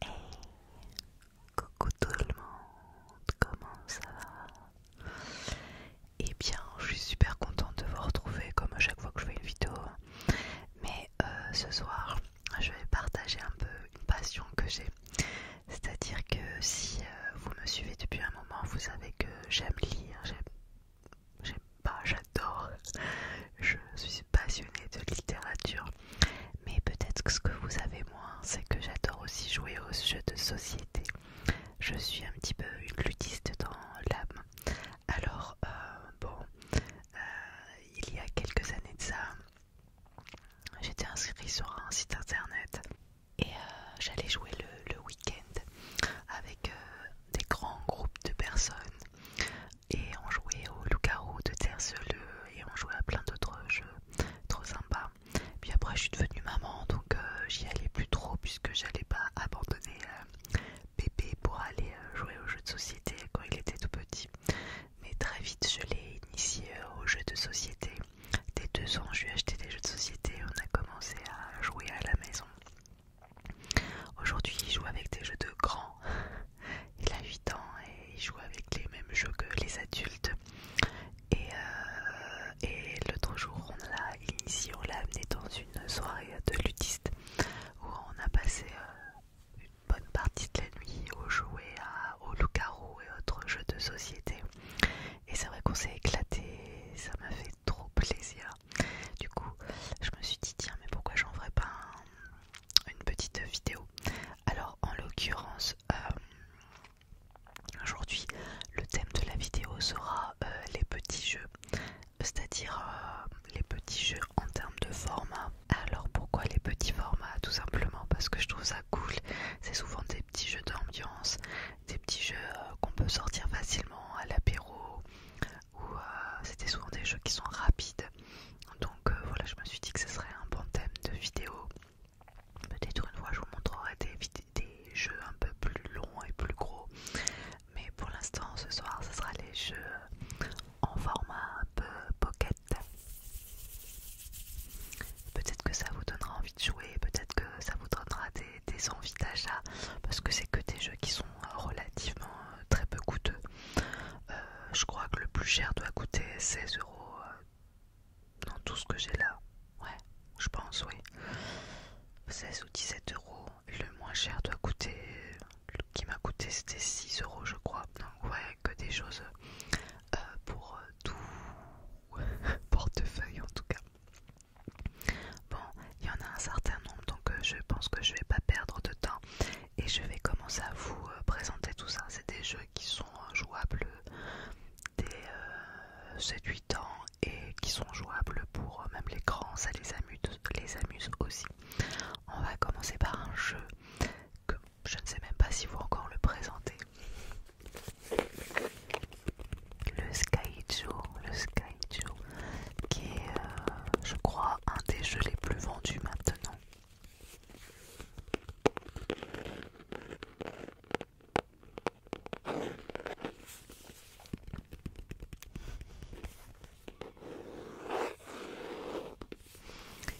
Hey Coucou tout le monde, comment ça va Eh bien, je suis super contente de vous retrouver comme à chaque fois que je fais une vidéo. Mais euh, ce soir, je vais partager un peu une passion que j'ai. C'est-à-dire que si euh, vous me suivez depuis un moment, vous savez que j'aime lire, j'aime j'aime pas, j'adore. Je suis passionnée de littérature. Mais peut-être que ce que vous avez moins, c'est que j'adore aussi jouer aux jeux de société. Je suis un petit peu une ludiste dans l'âme. Alors, euh, bon, euh, il y a quelques années de ça, j'étais inscrite sur un site internet et euh, j'allais jouer le, week-end avec des grands groupes de personnes et on jouait au loup-garou de Terceleux et on jouait à plein d'autres jeux trop sympas. Puis après, je suis devenue maman donc euh, j'y allais plus trop puisque j'allais pas abandonner euh, bébé pour aller euh, jouer aux jeux de société quand il était tout petit. Mais très vite, je l'ai initié aux jeux de société. Dès deux ans, je lui ai acheté des jeux de société. On a commencé à jouer à la maison. Aujourd'hui, il joue avec des jeux de grands. Il a 8 ans et il joue avec les mêmes jeux que les adultes. Euh, et, l'autre jour, on l'a initié, on l'a amené dans une soirée de ludistes où on a passé euh, une bonne partie de la nuit au jouer à, au loup et autres jeux de société. Et c'est vrai qu'on s'est éclaté, ça m'a fait trop plaisir. Du coup, je me suis dit, tiens, mais pourquoi j'en ferais pas une petite vidéo Alors, en l'occurrence, euh, aujourd'hui, le thème de la vidéo sera euh, les petits jeux, c'est-à-dire euh, les petits jeux en termes de format. Alors, pourquoi les petits formats Tout simplement parce que je trouve ça cool. C'est souvent des petits jeux d'ambiance, des petits jeux qu'on peut sortir facilement à l'apéro, où euh, c'était souvent des jeux qui sont rapides. Donc euh, voilà, je me suis dit que ce serait un bon thème de vidéo. Peut-être une fois je vous montrerai des, jeux un peu plus longs et plus gros. Mais pour l'instant, ce soir, ce sera les jeux en format un peu pocket. Peut-être que ça vous donnera envie de jouer, peut-être que ça vous donnera des envies d'achat, parce que c'est que des jeux qui sont euh, relativement très peu coûteux. Euh, je crois que le plus cher doit coûter 16 euros euh, dans tout ce que j'ai là. Ouais, je pense, oui. 16 ou 17 euros. le moins cher doit coûter. qui m'a coûté, c'était 6 euros, je crois. Donc, ouais, que des choses euh, pour tout portefeuille en tout cas. Bon, il y en a un certain nombre, donc euh, je pense que je vais pas perdre de temps et je vais commencer à vous euh, présenter tout ça. C'est des jeux qui sont euh, jouables des 7-8 ans et qui sont jouables pour même les grands, ça les amuse, les aussi. On va commencer par un jeu que je ne sais même pas si vous encore le présentez. Le Sky qui est, euh, je crois, un des jeux les plus vendus maintenant.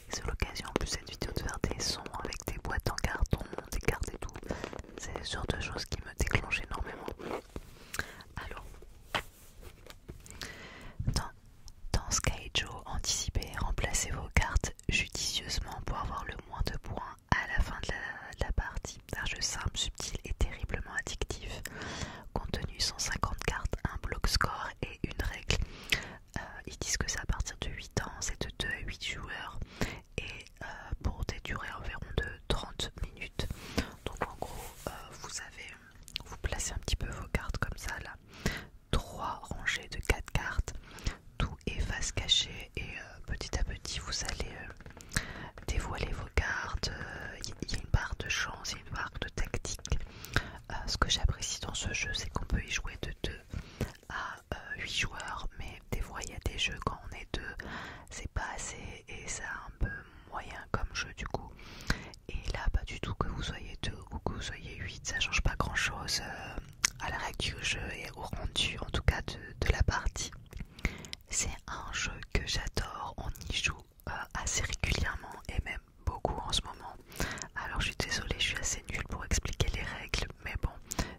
C'est l'occasion en plus cette vidéo de faire des sons avec des boîtes en carton, des cartes et tout. C'est le genre de choses qui me déclenchent énormément. Alors, dans, dans Skyjo, anticipez et remplacez vos cartes judicieusement pour avoir le moins de points à la fin de la, partie. Un jeu simple, subtil et terriblement addictif. Contenu 150 cartes, un bloc score et une règle. Euh, ils disent que ça à partir de 8 ans, c'est de 2 à 8 joueurs et euh, pour des durées environ de 30 minutes. Donc en gros, euh, vous avez vous placez un petit peu vos cartes comme ça là. Trois rangées de quatre cartes, tout est face cachée et euh, petit à petit vous allez euh, dévoiler vos cartes. Il euh, y, a une barre de chance, il y a une barre de tactique. ce que j'apprécie dans ce jeu, c'est qu'on peut y jouer de 2 à 8 joueurs, mais des fois il y a des jeux quand on est deux, c'est pas assez et ça un peu moyen comme jeu du coup. Et là, pas du tout que vous soyez 2 ou que vous soyez 8, ça change pas grand chose euh, à la règle du jeu et au rendu en tout cas de, la partie. C'est un jeu que j'adore, on y joue euh, assez régulièrement et même beaucoup en ce moment. Alors je suis désolée, je suis assez nulle pour expliquer les règles, mais bon,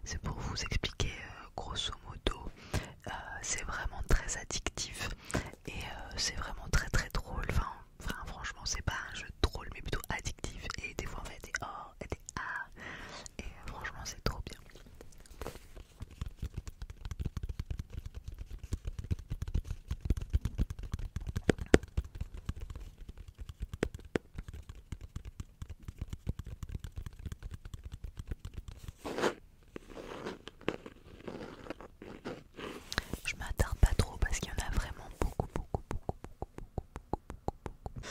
c'est pour vous expliquer euh, grosso modo. c'est vraiment très addictif et euh, c'est vraiment très très drôle. Enfin, franchement, c'est pas un jeu drôle, mais plutôt addictif. Et des fois, on fait des oh et des ah, et franchement, c'est trop bien. Je m'attarde pas trop parce qu'il y en a vraiment beaucoup, beaucoup, beaucoup, beaucoup, beaucoup, beaucoup,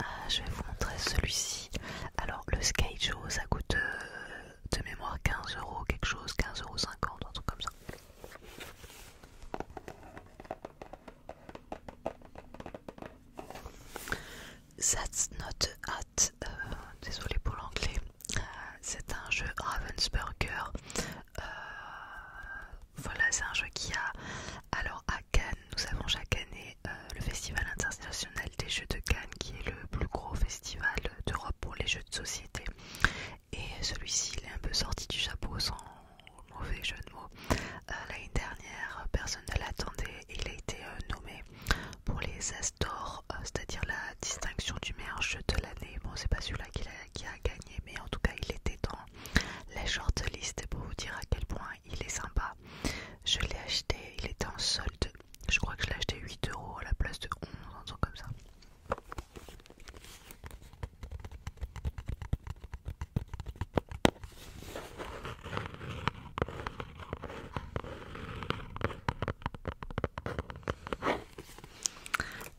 Ah, je vais vous montrer celui-ci. Alors, le skate ça coûte euh, de mémoire 15 euros, quelque chose, 15 euros, un truc comme ça. Euh, désolé pour l'anglais, euh, c'est un jeu Ravensburger. Euh, voilà, c'est un jeu qui a. Alors, à Cannes, nous avons chaque année le Festival international des jeux de Cannes, qui est le plus gros festival d'Europe pour les jeux de société. Et celui-ci, il est un peu sorti du chapeau sans mauvais jeu de mots. L'année dernière, personne ne l'attendait, il a été nommé pour les Astor, euh, c'est-à-dire la distinction du meilleur jeu de l'année. Bon, c'est pas celui-là qui, a gagné, mais en tout cas, il était dans la shortlist pour vous dire à quel point il est sympa. Je l'ai acheté, il était en solde. Je crois que je l'ai acheté 8€ à la place de 11, un truc comme ça.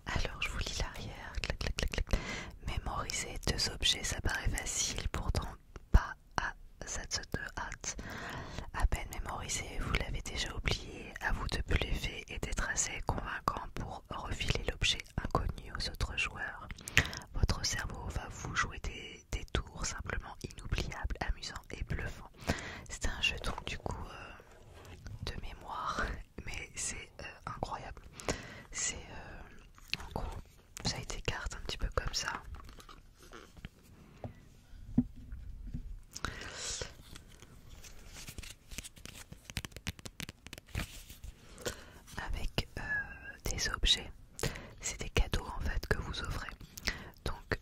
Alors je vous lis l'arrière. Mémoriser deux objets, ça paraît facile, pourtant pas à cette hâte. À peine mémorisé, vous l'avez déjà oublié. À vous de bluffer et d'être assez convaincant pour refiler l'objet inconnu aux autres joueurs. Votre cerveau va vous jouer des, tours simplement inoubliables, amusants et bluffants. C'est un jeton du coup euh, de mémoire, mais c'est euh, incroyable. C'est euh, en gros, ça a été carte un petit peu comme ça. Avec euh, des objets, c'est des cadeaux en fait que vous offrez. Donc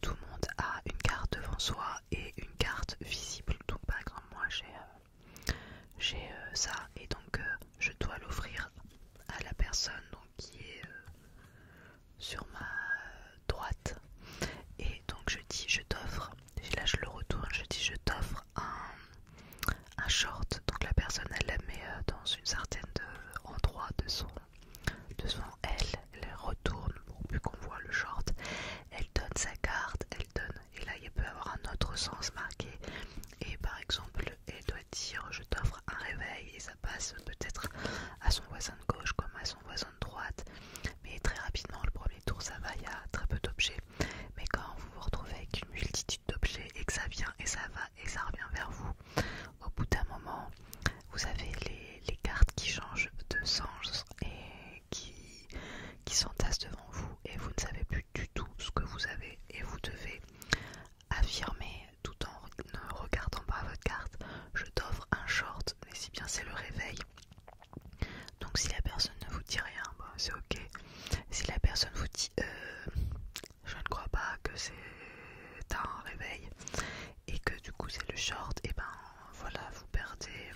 tout le monde a une carte devant soi et une carte visible. Donc par exemple moi j'ai euh, euh, ça et donc euh, je dois l'offrir à la personne qui est sur ma droite. Et donc je dis je t'offre, là je le retourne, je dis je t'offre un, short. Donc la personne elle la met dans une certaine endroit de son de Devant elle, elle retourne pour plus qu'on voit le short. Elle donne sa carte, elle donne. Et là, il peut y avoir un autre sens marqué. Et par exemple, elle doit dire Je t'offre un réveil. Et ça passe peut-être à son voisin de gauche comme à son voisin de droite. Mais très rapidement, le premier tour, ça va. Il y a très peu d'objets. Mais quand vous vous retrouvez avec une multitude d'objets et que ça vient et ça va et ça revient vers vous, au bout d'un moment, vous avez les, cartes qui changent de sens et qui, qui s'entassent devant vous et vous ne savez plus du tout ce que vous avez et vous devez affirmer tout en ne regardant pas votre carte je t'offre un short mais si bien c'est le réveil donc si la personne ne vous dit rien bah, c'est ok si la personne vous dit euh, je ne crois pas que c'est un réveil et que du coup c'est le short, et ben voilà, vous perdez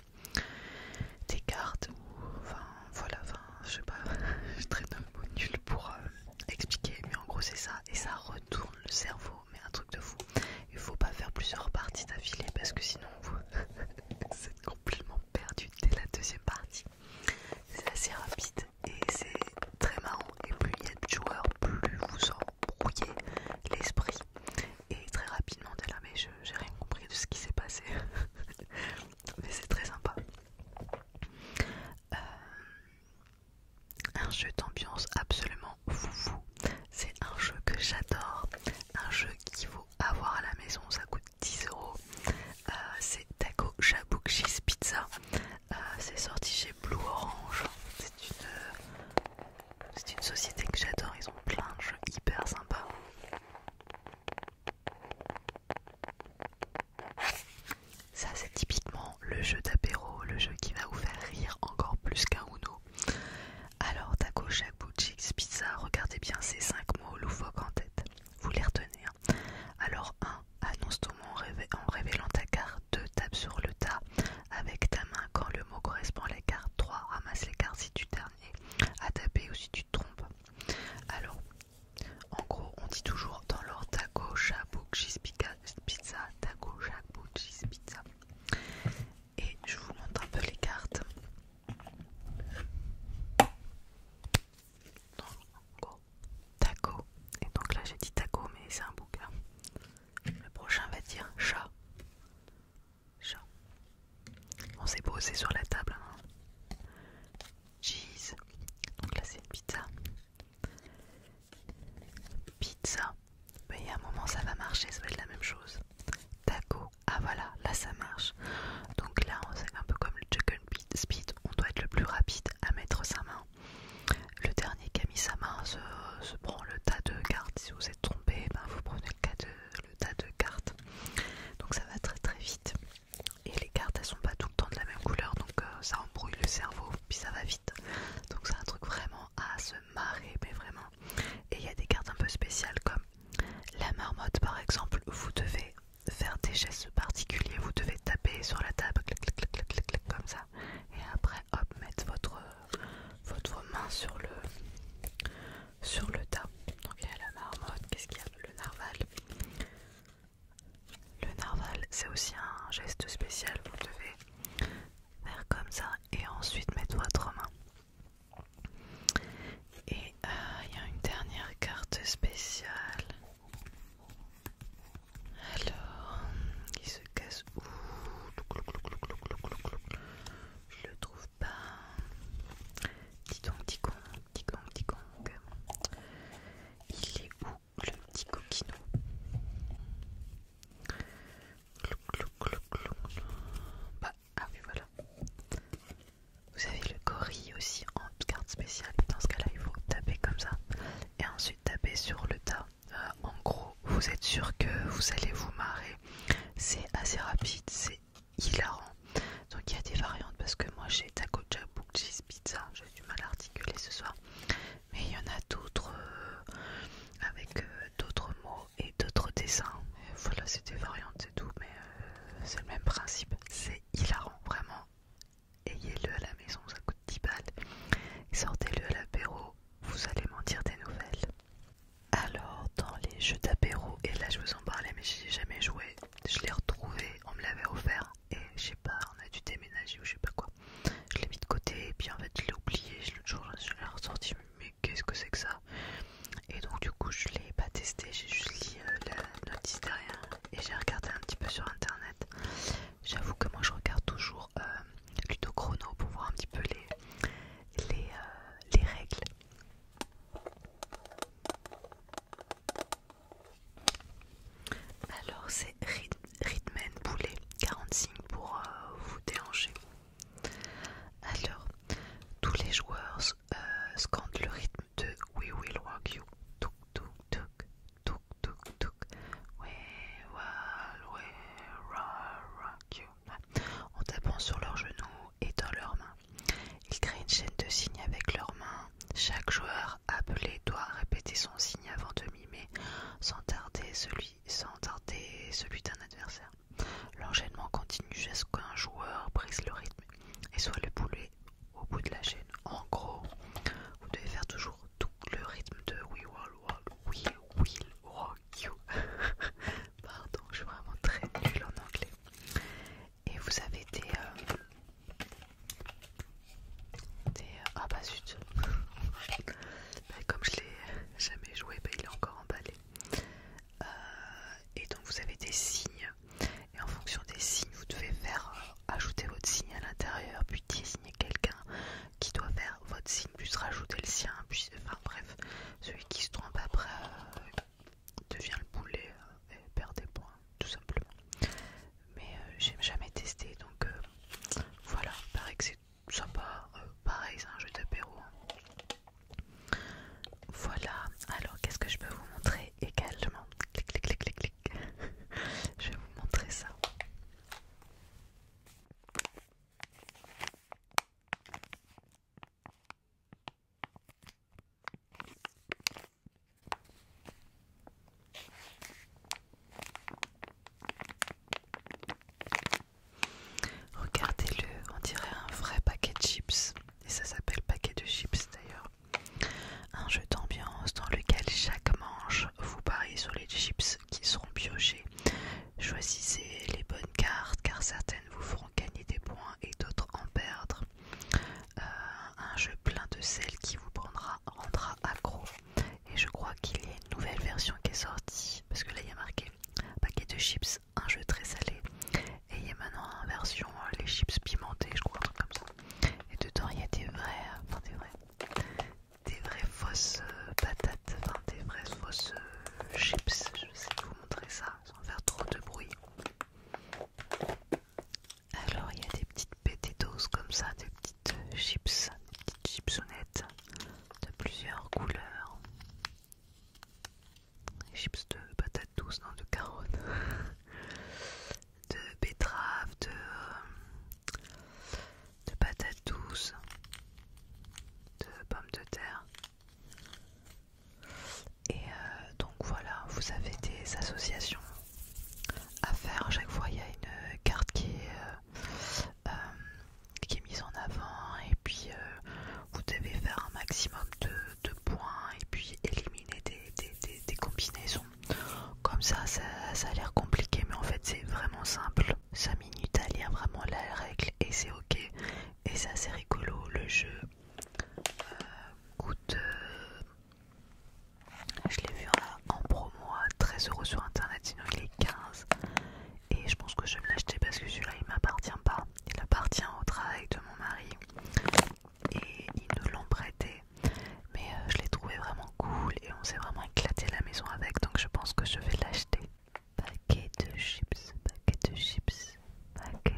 des cartes ou enfin voilà, je sais pas, je traîne un mot nul pour euh, expliquer, mais en gros c'est ça, et ça retourne le cerveau, mais un truc de fou. Il faut pas faire plusieurs parties d'affilée parce que sinon vous êtes complètement perdu dès la deuxième partie. C'est assez rapide et c'est très marrant. Et plus il y a de joueurs, plus vous en brouiller l'esprit et très rapidement t'es là mais j'ai rien compris de ce qui s'est passé mais c'est très sympa euh, un jeu d'ambiance absolument foufou c'est un jeu que j'adore un jeu qu'il faut avoir à la maison ça coûte 10 euros euh, c'est Taco Shabook Cheese Pizza euh, c'est sorti chez Blue Orange c'est une c'est une société que j'adore, ils ont plein de jeux hyper sympas. Ça c'est typiquement le jeu d'apéro, le jeu qui va vous faire rire encore plus qu'un Uno. Alors taco, shack, Cheeks, pizza, regardez bien ces 5 mots loufoques en tête. Vous les retenez. Hein. Alors 1. Annonce ton mot en, en révélant ta carte. 2. Tape sur le tas avec ta main quand le mot correspond à la carte 3. Ramasse les cartes si tu dernier à taper ou si tu te trompes. Alors, en gros, on dit toujours dans l'ordre taco, cheese, pizza, taco, cheese, pizza. Et je vous montre un peu les cartes. taco. Et donc là, j'ai dit taco, mais c'est un bouc. Le prochain va dire chat. On s'est posé sur la table. Hein. Cheese. Donc là c'est une pizza. Pizza. Mais a un moment ça va marcher, ça va être la même chose. Taco. Ah voilà, là ça marche. Donc là c'est un peu comme le chicken speed. On doit être le plus rapide à mettre sa main. Le dernier sa main se prend le tas de cartes. Si vous êtes trompé, ben, vous prenez le, le tas de cartes. Donc ça va très très vite. Et les cartes elles sont pas tout le temps de la même couleur donc euh, ça embrouille le cerveau puis ça va vite. Donc c'est un truc vraiment à se marrer mais vraiment. Et il y a des cartes un peu spéciales comme la marmotte par exemple. Vous devez faire des gestes particuliers, vous devez taper sur la table clac clac clac, clic, clic, comme ça et après hop mettre votre votre main sur le sur le tas. Donc il y a la marmotte, qu'est-ce qu'il y a Le narval. Le narval, c'est aussi un geste spécial. Vous devez faire comme ça et ensuite mettre votre main. Et euh, il y a une dernière carte spéciale. Alors, il se casse où je le trouve pas. dit donc dit didong. Il est où le petit coquinou Clou, clou, Bah, ah oui, voilà. Vous avez le gorille aussi en carte spéciale. Dans ce cas-là, il faut taper comme ça et ensuite taper sur le tas en gros, vous êtes sûr que vous allez vous marrer. C'est assez rapide, c'est hilarant. Donc il y a des variantes parce que moi j'ai taco jabouk pizza, j'ai du mal à articuler ce soir. Mais il y en a d'autres euh, avec euh, d'autres mots et d'autres dessins. voilà, c'est des variantes c'est tout, mais euh, c'est le même principe. C'est hilarant, vraiment. Ayez-le à la maison, ça coûte 10 balles. Sortez-le à l'apéro, vous allez mentir des nouvelles. Alors, dans les jeux d'apéro, et là je vous en parlais, mais j'ai ai jamais joué. Je l'ai retrouvé, on me l'avait offert, et je sais pas, on a dû déménager ou je sais pas quoi. Je l'ai mis de côté, et puis en fait je l'ai oublié, l'autre je l'ai ressorti, mais qu'est-ce que c'est que ça Et donc, du coup, je l'ai pas testé, j'ai juste lu euh, la notice derrière, et j'ai regardé un petit peu sur internet. J'avoue que moi je regarde toujours. Euh, Plutôt Chrono pour voir un petit peu les, les, euh, règles. Alors c'est Ritmen Poulet 45 pour euh, vous déranger. Alors tous les joueurs euh, scandent le rythme de We Will Rock You. Touk touk touk touk touk touk. We rock you en tapant sur leurs genoux et dans leurs mains. Ils créent une chaîne de signes avec leurs mains. Chaque joueur appelé doit répéter son signe avant de mimer sans tarder celui, sans tarder celui d'un adversaire. L'enchaînement continue jusqu'à ce qu'un joueur brise le rythme et soit le boulet au bout de la chaîne. En gros, vous devez faire toujours tout le rythme de We oui, Will Pardon, je suis vraiment très nulle en anglais. Et vous avez des. Euh, ah bah zut! Bah, comme je l'ai jamais joué, bah, il est encore emballé. Euh, et donc vous avez des signes. Et en fonction des signes, vous devez faire euh, ajouter votre signe à l'intérieur, puis désigner quelqu'un qui doit faire votre signe puisse rajouter le sien, puis, enfin bref, celui qui se trompe après euh, devient le boulet euh, et perd des points, tout simplement. Mais euh, j'ai jamais testé, donc voilà, paraît que c'est sympa, pareil, c'est un jeu d'apéro. Hein. Voilà, alors qu'est-ce que je peux vous montrer également Clic, clic, clic, clic, clic. je vais vous montrer ça. Regardez-le, on dirait un vrai paquet de chips, et ça s'appelle paquet de chips d'ailleurs. Un jeu d'ambiance dans lequel chaque manche vous pariez sur les chips qui seront piochés. Choisissez les bonnes cartes car certaines vous feront gagner des points et d'autres en perdre. Euh, un jeu plein de sel qui vous prendra, rendra accro. Et je crois qu'il y a une nouvelle version qui est sortie parce que là il y a marqué paquet de chips, un jeu très salé. Et il y a maintenant une version euh, les chips pimentées, je crois, comme ça. Et dedans il y a des vrais, des vraies fausses euh, patates, des vraies fausses chips. Je vais essayer vous montrer ça sans faire trop de bruit. Alors il y a des petites pététos comme ça, des petites euh, chips, des petites chipsonnettes de plusieurs couleurs. chips de patates douces, non de carottes, de betteraves, de, euh, de patates douces, de pommes de terre. Et euh, donc voilà, vous avez des associations à faire. À chaque fois, il y a une carte qui est, euh, euh, mise en avant. Et puis, vous devez faire un maximum de, points et puis éliminer des, combinaisons. Comme ça, ça, a l'air compliqué, mais en fait, c'est vraiment simple. 5 minutes à lire vraiment la règle et c'est ok et ça c'est rigolo le jeu euh, coûte euh, je l'ai vu en, promo à 13 sur internet sinon il est 15 et je pense que je vais me l'acheter parce que celui-là il m'appartient pas il appartient au travail de mon mari et ils nous l'ont prêté mais euh, je l'ai trouvé vraiment cool et on s'est vraiment éclaté la maison avec donc je pense que je vais l'acheter Paquet de chips, paquet de chips, paquet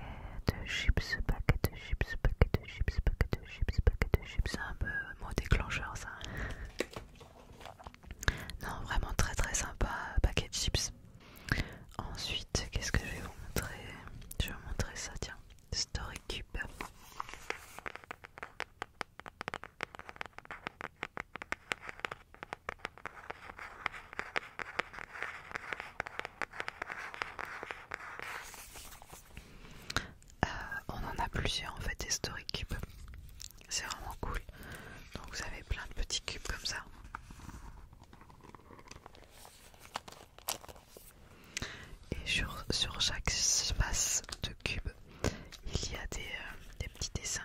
de chips, paquet de chips, paquet de chips, paquet de chips, paquet de chips. C'est un peu mot déclencheur ça. Non, vraiment très très sympa, paquet de chips. Ensuite, qu'est-ce que je vais vous montrer Je vais vous montrer ça, tiens. Story Cube. Euh, on en a plusieurs en fait des story cubes, c'est vraiment cool. Donc vous avez plein de petits cubes comme ça. Et sur, chaque espace de cube, il y a des euh, petits dessins.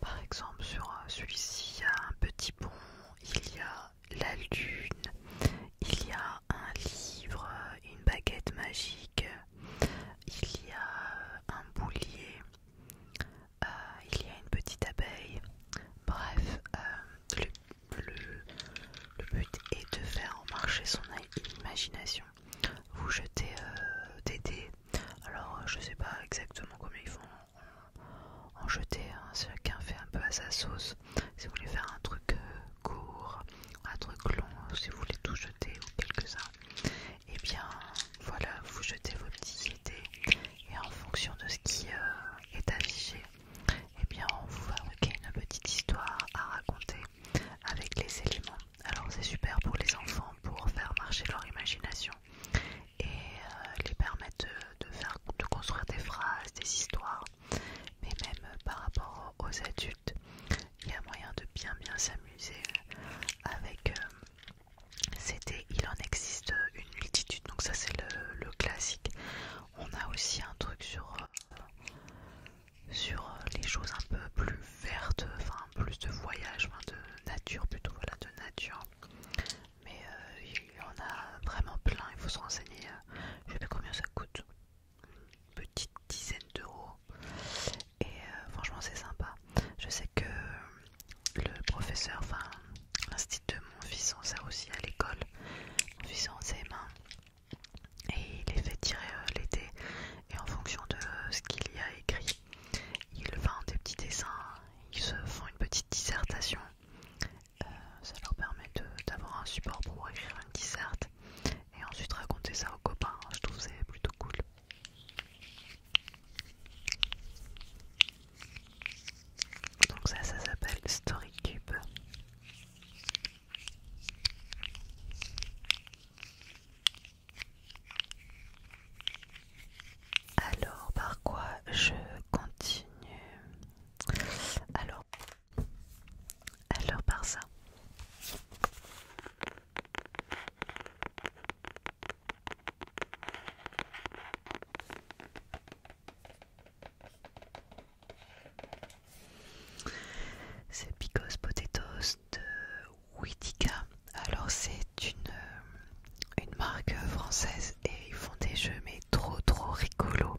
Par exemple, sur euh, celui-ci, il y a un petit pont, il y a la lune, il y a un livre, euh, une baguette magique, il y a euh, un boulier, euh, il y a une petite abeille. Bref, euh, le, but est de faire marcher son imagination. Vous jetez euh, des dés. Alors, je sais pas exactement combien ils font en, jeter. Hein. Chacun fait un peu à sa sauce. Si vous voulez faire un truc court, un truc long, si vous voulez tout jeter ou quelques-uns et eh bien voilà, vous jetez vos petites idées et en fonction de ce qui euh, est affiché, et eh bien on vous fabrique une petite histoire à raconter avec les éléments. Alors c'est super pour les enfants pour faire marcher leur imagination et euh, les permettre de, construire des phrases, des histoires, mais même euh, par rapport aux adultes, il y a moyen de bien bien s'amuser avec c'était il en existe une multitude, donc ça c'est le, classique. On a aussi un truc sur, euh, sur euh, les choses un peu plus vertes, enfin plus de voyage, de nature plutôt, voilà, de nature. Mais euh, il en a vraiment plein, il faut se renseigner. je sais pas combien ça coûte, petite dizaine d'euros. Et franchement c'est sympa. Je sais que le professeur, enfin l'institut de mon fils en ça aussi à l'école, mon fils en ses mains et il les fait tirer euh, l'été et en fonction de ce qu'il y a écrit, il vend des petits dessins, ils se font une petite dissertation, euh, ça leur permet d'avoir un support pour écrire une disserte et ensuite raconter ça aux copains, je trouve c'est plutôt cool. Donc ça, ça s'appelle Story Cube. Alors, par quoi je continue Alors, alors par ça. C'est Picos Potatoes de Witika. Alors c'est euh, une, marque française et ils font des jeux mais trop trop rigolos.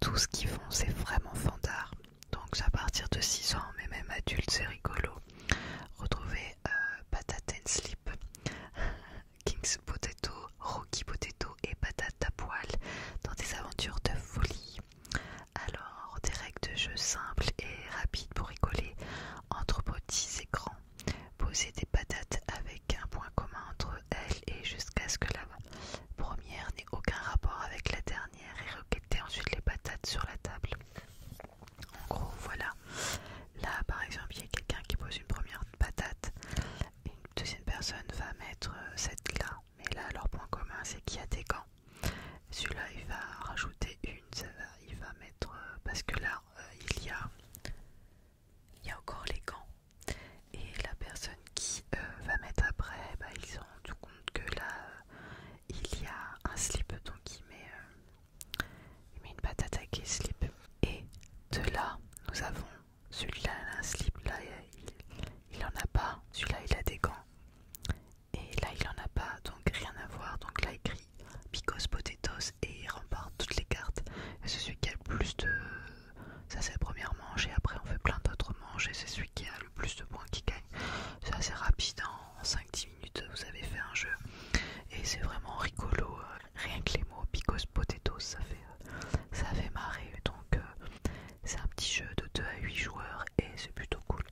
Tout ce qu'ils font c'est vraiment fandard. Donc à partir de 6 ans mais même adulte c'est rigolo. Retrouvez euh, Patat Sleep King's Potato, Rocky Potato et patates à poil dans des aventures de folie. Alors, des règles de jeu simples et rapides pour rigoler entre petits et grands. Poser des patates avec un point commun entre elles et jusqu'à ce que la première n'ait aucun rapport avec la dernière et requêter ensuite les patates sur la table. En gros, voilà. Là, par exemple, il y a quelqu'un qui pose une première patate et une deuxième personne va mettre euh, cette là. Mais là, leur point commun, c'est qu'il y a des gants. Celui-là, il va rajouter une, ça va, il va mettre... Euh, parce que là, euh, il, y a, il y a encore les gants. Et la personne qui va mettre après, bah, ils se rendent compte que là, il y a un slip, donc il met... Il met une patate à slip. Et de là, nous avons celui-là, un slip. Là, il, en a pas. Celui-là, il a des gants. Et là, il en a pas. Donc, rien à voir. Donc, là, écrit Picos Potatoes. Et il remporte toutes les cartes. Et c'est celui qui a le plus de. Ça, c'est la première manche. Et après, on fait plein d'autres manches. Et c'est celui qui a le plus de points qui gagne. C'est assez rapide. En 5-10 minutes, vous avez fait un jeu. Et c'est vraiment rigolo. Euh, rien que les mots Because Potatoes, ça fait, euh, ça fait marrer. Donc, euh, c'est un petit jeu de 2 à 8 joueurs et c'est plutôt cool.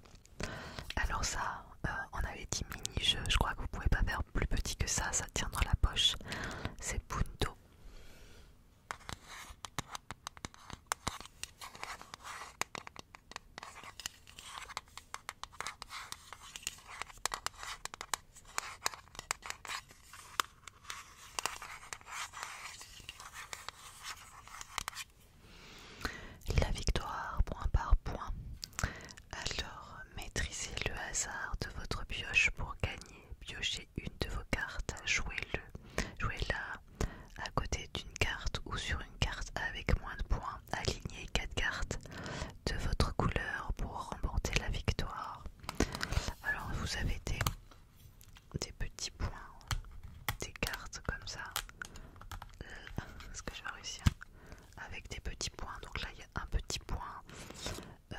Alors, ça, euh, on avait dit mini-jeu. Je crois que vous pouvez pas faire plus petit que ça. Ça tient dans la poche. C'est Punto. La victoire, point par point. Alors, maîtrisez le hasard de votre pioche pour gagner. Piochez une de vos cartes, jouez-le, jouez-la à côté d'une carte ou sur une carte avec moins de points aligner 4 cartes de votre couleur pour remporter la victoire. Alors vous avez des, petits points, des cartes comme ça. Euh, est-ce que je vais réussir Avec des petits points. Donc là il y a un petit point euh,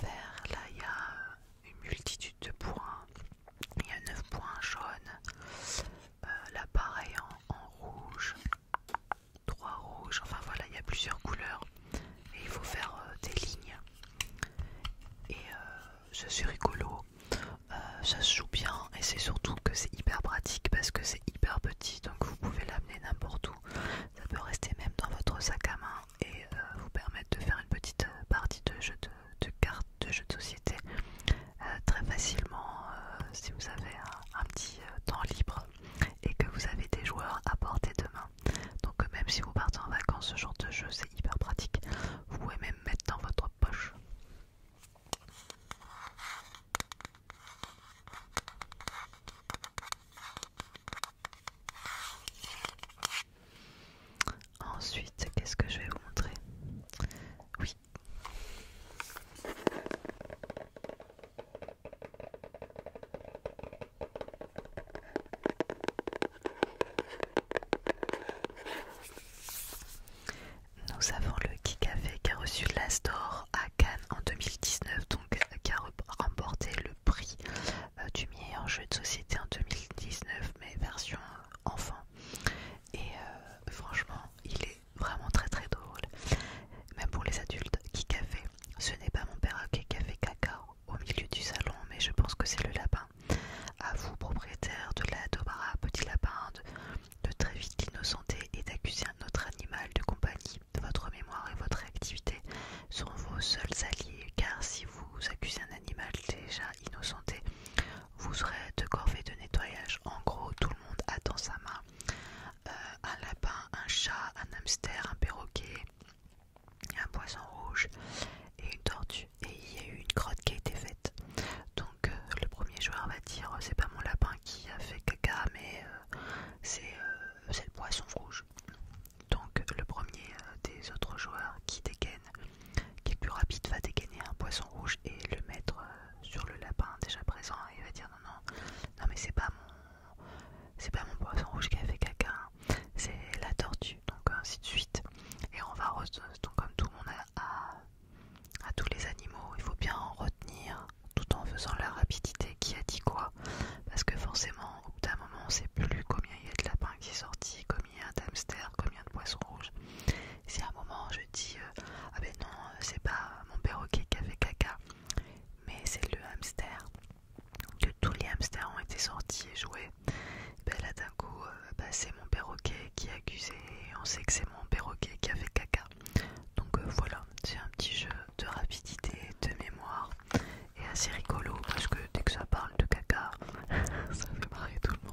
vert, là il y a une multitude de points. Il y a 9 points jaunes. Euh, là pareil en rouge Trois rouges, enfin voilà, il y a plusieurs couleurs et il faut faire euh, des lignes. Et je euh, suis rigolo, euh, ça se joue bien et c'est surtout que c'est hyper pratique parce que c'est hyper petit donc vous pouvez l'amener n'importe où. Ça peut rester même dans votre sac à main et vous permettre de faire une petite partie de jeu de, cartes, de jeu de société très facilement si vous avez un, petit temps libre et que vous avez des joueurs à porter demain. Donc euh, même si vous partez en vacances, ce genre de jeu c'est hyper pratique. Vous pouvez même mettre dans votre poche. Ensuite, qu'est-ce que je vais vous montrer Oui. Nous avons le Kikafé qui a reçu l'As à Cannes en 2019, donc qui a remporté le prix euh, du meilleur jeu de société en 2019, mais version enfant. Et euh, franchement, il est vraiment très très drôle, même pour les adultes. Kikafé, ce n'est pas mon perroquet qui a fait caca au milieu du salon, mais je pense que c'est le lapin. À vous, propriétaire de la Dobara, petit lapin, de, très vite l'innocenter et d'accuser un autre animal de compagnie. Votre mémoire et votre activité sont vos seuls alliés, car si vous accusez un animal déjà innocenté, vous serez de corvées de nettoyage. En gros, tout le monde a dans sa main euh, un lapin, un chat, un hamster, un perroquet, un poisson rouge et une tortue. Et il y a eu une crotte qui a été faite. Donc euh, le premier joueur va dire euh, c'est pas mon lapin qui a fait caca mais c'est le poisson rouge. Donc le premier des autres joueurs qui dégaine, qui est plus rapide, va dégainer un poisson rouge et le mettre sur le lapin déjà présent. Et il va dire non non non mais c'est pas mon c'est pas mon poisson rouge qui a fait caca, hein. c'est la tortue, donc euh, ainsi de suite. Et on va, donc comme tout le monde a, tous les animaux, il faut bien en retenir tout en faisant la rapidité qui a dit quoi, parce que forcément, au bout d'un moment, on sait plus combien il y a de lapins qui est sorti, combien il y a combien de poissons rouges. Si à un moment je dis euh, ah ben non, euh, c'est pas mon perroquet qui a fait caca, mais c'est le hamster que tous les hamsters ont été sortis et joués. Ben là d'un coup, euh, bah, c'est mon perroquet qui est accusé et on sait que c'est mon perroquet qui a fait caca. Donc euh, voilà, c'est un petit jeu de rapidité, de mémoire et assez rigolo parce que dès que ça parle de caca, ça fait marrer tout le monde.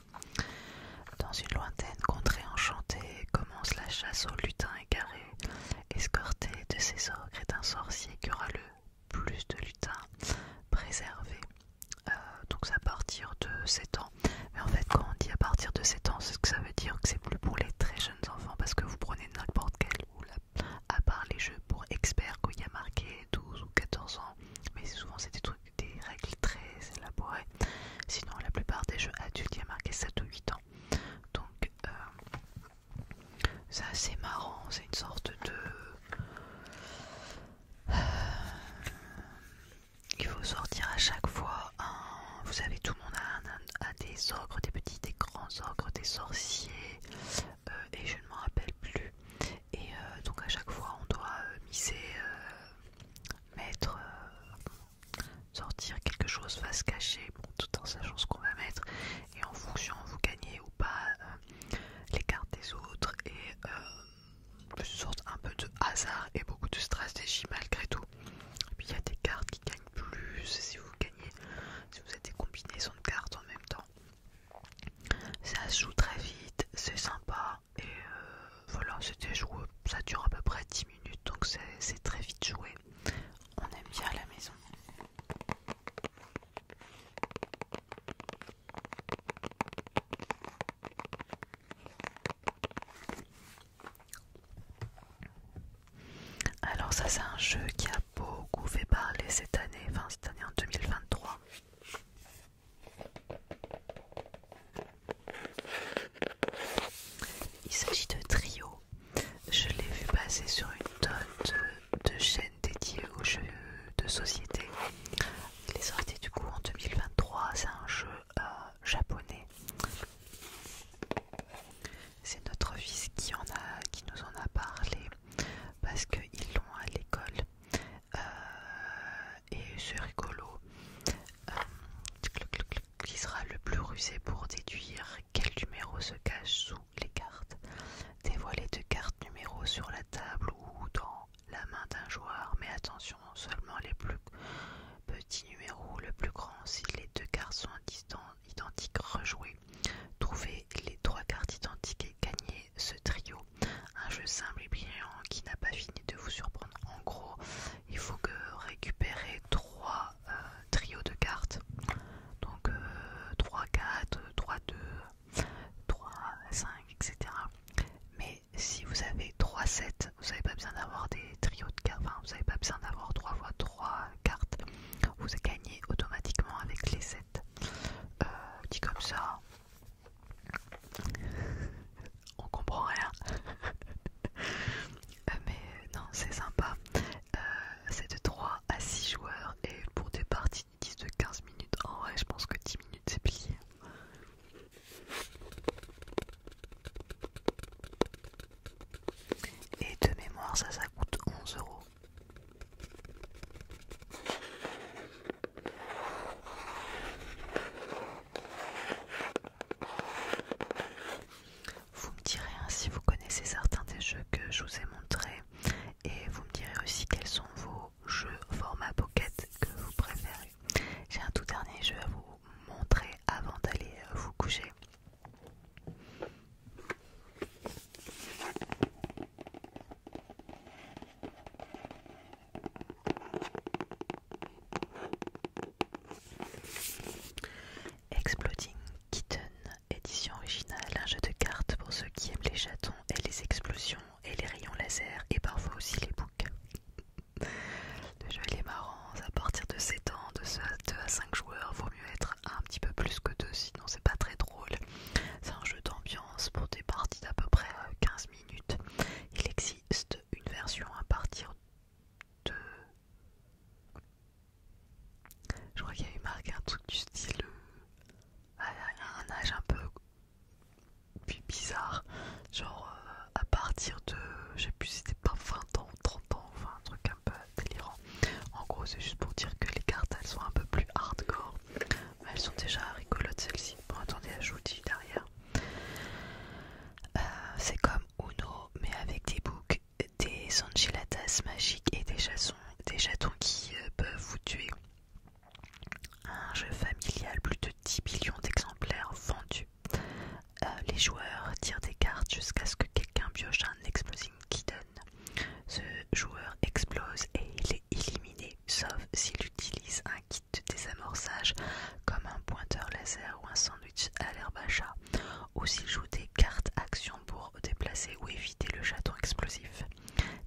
dans une lointaine contrée enchantée commence la chasse au lutins égarés. escorté de ses ogres et d'un sorcier qui aura le plus de lutins préservés. Euh, donc à partir de 7 ans. Mais en fait quand on dit à partir de 7 ans, c'est ce que ça veut dire que c'est plus pour les très jeunes enfants parce que vous prenez n'importe quel ou à part les jeux pour experts qu'il y a marqué 12 ou 14 ans. Mais souvent c'est des trucs des règles très élaborées. Sinon, la plupart des jeux adultes, il y a marqué 7 ou 8 ans. Donc, euh, c'est assez marrant. C'est une sorte de. Euh, il faut sortir à chaque fois un. Vous savez, tout le monde a, des ogres, des petits, des grands ogres, des sorciers, euh, et je ne m'en rappelle plus. Et euh, donc, à chaque fois, on doit miser mettre euh, sortir quelque chose face cachée bon, tout en sachant ce qu'on va mettre et en fonction vous gagnez ou pas euh, les cartes des autres et euh, une sorte un peu de hasard et beaucoup de stratégie malgré tout puis il y a des cartes qui gagnent plus si vous gagnez si vous êtes des combinaisons de cartes en même temps ça se joue très vite c'est sympa et euh, voilà, c'était joué. Ça dure à peu près 10 minutes, donc c'est très vite joué. On aime bien à la maison. Alors ça c'est un jeu qui a beaucoup fait parler cette année, enfin cette année en 2023. Il s'agit de Trio. Je l'ai vu passer sur une tonne de, chaîne chaînes dédiées aux jeux de société. Il est sorti du coup en 2023. C'est un jeu euh, japonais. C'est notre fils qui, en a, qui nous en a parlé parce qu'ils l'ont à l'école. Euh, et c'est rigolo. Euh, qui sera le plus rusé pour déduire quel numéro se cache sous les cartes. Dévoilez deux cartes numéros sur la table ou dans la main d'un joueur, mais attention, seulement les plus petits numéros, le plus grand si les deux cartes sont identiques, rejouez. Trouvez les trois cartes identiques et gagnez ce trio. Un jeu simple et brillant qui n'a pas fini de vous surprendre. En gros, il faut que récupérer trois euh, trios de cartes. Donc 3, 4, 3, 2, 3, 5, etc. Mais si vous avez 3 sets, vous n'avez pas besoin d'avoir des trios de cartes, vous pas besoin d'avoir 3 fois 3 cartes, vous gagnez automatiquement avec les sets. Euh, comme ça, on comprend rien euh, mais euh, non c'est sympa euh, c'est de 3 à 6 joueurs et pour des parties 10 de 15 minutes en vrai je pense que 10 minutes c'est plié et de mémoire ça ça coûte 11 euros vous me direz hein, si vous connaissez certains des jeux que je vous ai montrés et vous me direz aussi quels sont vos jeux format pocket que vous préférez. J'ai un tout dernier jeu à vous montrer avant d'aller euh, vous coucher. Exploding Kitten, édition originale, un jeu de cartes pour ceux qui aiment les chatons et les explosions et les rayons laser et parfois aussi les boucs. Le jeu marrons à partir de 7 ans, de 2 à 5 joueurs, vaut mieux être un petit peu plus que 2 sinon c'est pas très drôle. C'est un jeu d'ambiance pour des parties d'à peu près 15 minutes. Il existe une version à partir de je crois qu'il y a eu marqué un truc du style... Euh, un âge un peu bizarre, genre euh, à partir de... Je sais plus si c'était pas 20 ans 30 ans, enfin un truc un peu délirant. En gros c'est juste pour dire que les cartes elles sont un peu plus hardcore. Mais elles sont déjà rigolotes celles-ci. Bon attendez, je vous dis derrière. Euh, c'est comme Uno, mais avec des boucs, des enchiladas magiques et des, des chatons qui euh, peuvent vous tuer. Un jeu familial, plus de 10 millions d'exemplaires vendus. Euh, les joueurs tirent des cartes jusqu'à ce que quelqu'un pioche un Explosive qui Ce joueur explose et il est éliminé, sauf s'il utilise un des de comme un pointeur laser ou un sandwich à l'herbe à chat, ou s'il joue des cartes action pour déplacer ou éviter le château explosif.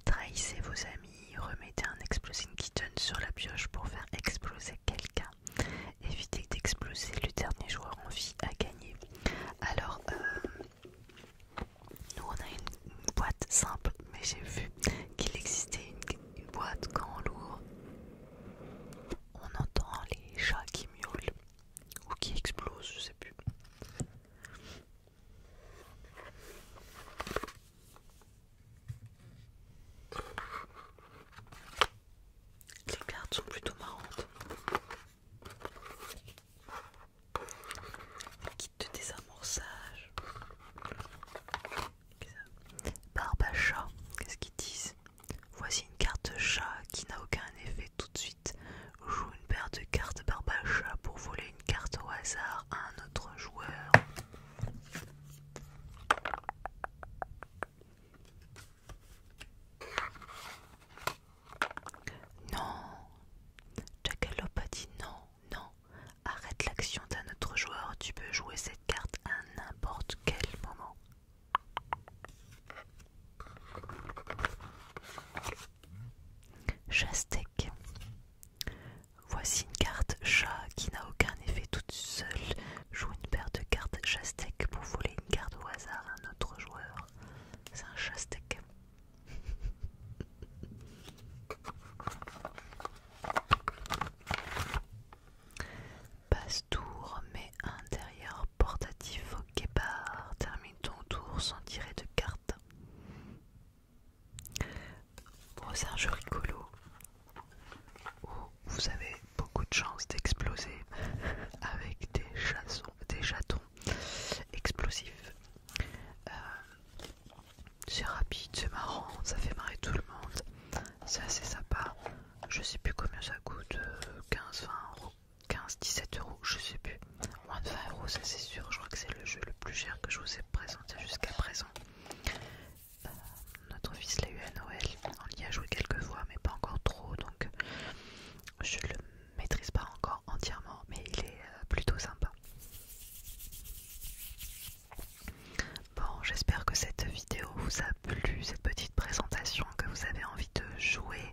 Trahissez vos amis, remettez un qui kitten sur la pioche pour faire exploser quelqu'un. Évitez d'exploser le dernier joueur en vie à gagner. Alors, euh, nous on a une, boîte simple, mais j'ai vu qu'il existait une, boîte quand on on entend les chats qui miaulent ou qui explosent, je sais plus. Les cartes sont plutôt marrantes. Kit de désamorçage. Barbe qu'est-ce qu'ils disent Voici une carte chat qui n'a aucun effet tout de suite. Joue une paire de cartes barbe pour voler une carte au hasard à un autre joueur. Non, Jackalope a dit non, non, arrête l'action. À notre autre joueur, tu peux jouer cette carte à n'importe quel moment. Chastec. Voici une carte chat qui n'a aucun effet toute seule. Joue une paire de cartes chastec pour voler une carte au hasard à un autre joueur. C'est un chastec passe tour mais intérieur portatif au guépard. Termine ton tour sans tirer de carte. Bon, c'est un jeu rigolo où vous avez beaucoup de chance d'exploser avec des, chassons, des chatons explosifs. Euh, c'est rapide, c'est marrant, ça fait marrer tout le monde, c'est assez sympa je sais plus combien ça coûte, 15, euh, 20 euros, 15, 17 euros, je sais plus, moins de 20 euros, ça c'est sûr. Je crois que c'est le jeu le plus cher que je vous ai présenté jusqu'à présent. Euh, notre fils l'a eu à Noël, on y a joué quelques fois, mais pas encore trop, donc je le maîtrise pas encore entièrement, mais il est euh, plutôt sympa. Bon, j'espère que cette vidéo vous a plu, cette petite présentation, que vous avez envie de jouer,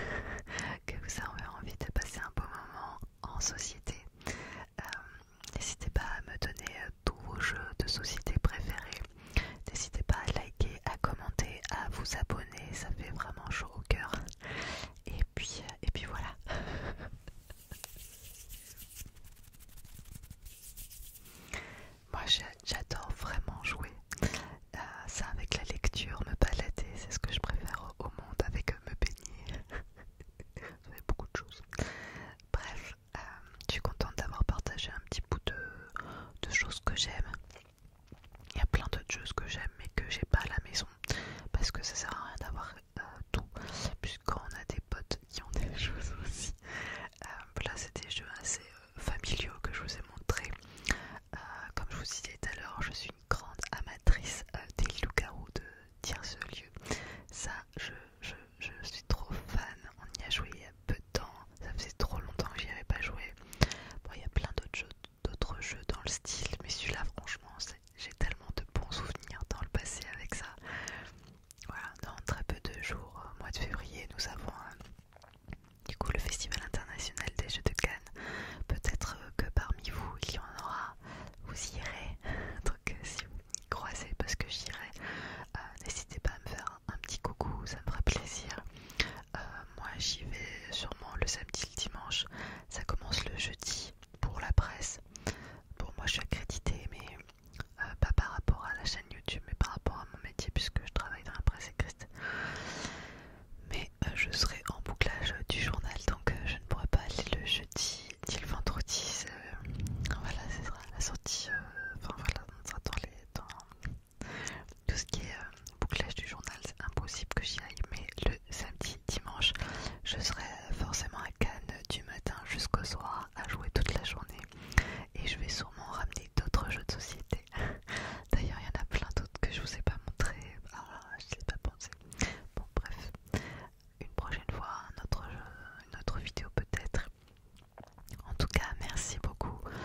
que vous avez envie de passer un bon moment en société. Euh, n'hésitez pas à me donner euh, tous vos jeux de société préférés. N'hésitez pas à liker, à commenter, à vous abonner, ça fait vraiment chaud au cœur. Et puis, euh, et puis voilà. Moi j'adore vraiment jouer. Euh, ça avec la lecture, me balader, c'est ce que je préfère au monde avec euh, me baigner. ça beaucoup de choses. Bref, euh, je suis contente d'avoir partagé un petit bout de, choses que j'aime. Il y a plein d'autres choses que j'aime mais que j'ai pas à la maison parce que ça sert à rien d'avoir tout quand on a des potes qui ont des choses aussi. Euh, là, c'est des jeux assez euh, familiaux que je vous ai montrés. Euh, comme je vous disais tout à l'heure, je suis une grande amatrice des loups de Tierce-Lieu. Ça, je, suis trop fan. On y a joué il y a peu de temps. Ça faisait trop longtemps que j'y avais pas joué. Bon, il y a plein d'autres jeux, d'autres jeux dans le style, mais celui-là, franchement, j'ai tellement de bons souvenirs dans le passé avec ça voilà, dans très peu de jours, mois de février, nous avons du coup le Festival international des Jeux de Cannes. Peut-être que parmi vous, il y en aura, vous irez. Donc si vous croisez, parce que j'irai, euh, n'hésitez pas à me faire un, petit coucou, ça me fera plaisir. Euh, moi j'y vais sûrement le samedi, et le dimanche. Ça commence le jeudi pour la presse. Bon, moi je suis accréditée, mais euh, pas par rapport à la chaîne YouTube, mais par rapport à mon métier, puisque je travaille dans la presse écrite. Mais euh, je serai en bouclage du journal, donc euh, je ne pourrai pas aller le jeudi ni le vendredi. voilà, ce sera la sortie. Enfin voilà, on sera dans, les, tout ce qui est bouclage du journal. C'est impossible que j'y aille, mais le samedi, dimanche, je serai forcément à Cannes du matin jusqu'au soir à jouer toute la journée et je vais sûrement ramener d'autres jeux de société. D'ailleurs, il y en a plein d'autres que je vous ai pas montré. Ah, je ne pas pensé. Bon, bref, une prochaine fois, autre une autre vidéo peut-être. En tout cas, merci beaucoup euh,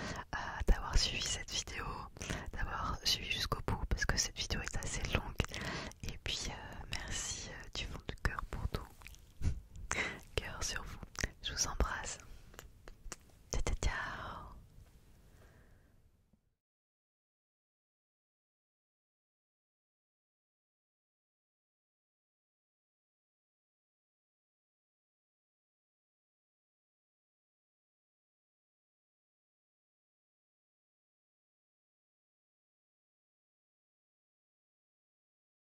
d'avoir suivi cette vidéo, d'avoir suivi jusqu'au bout parce que cette vidéo est assez longue. Et puis, euh, merci euh, du fond du cœur pour tout. Cœur sur vous. Je vous embrasse. Ciao.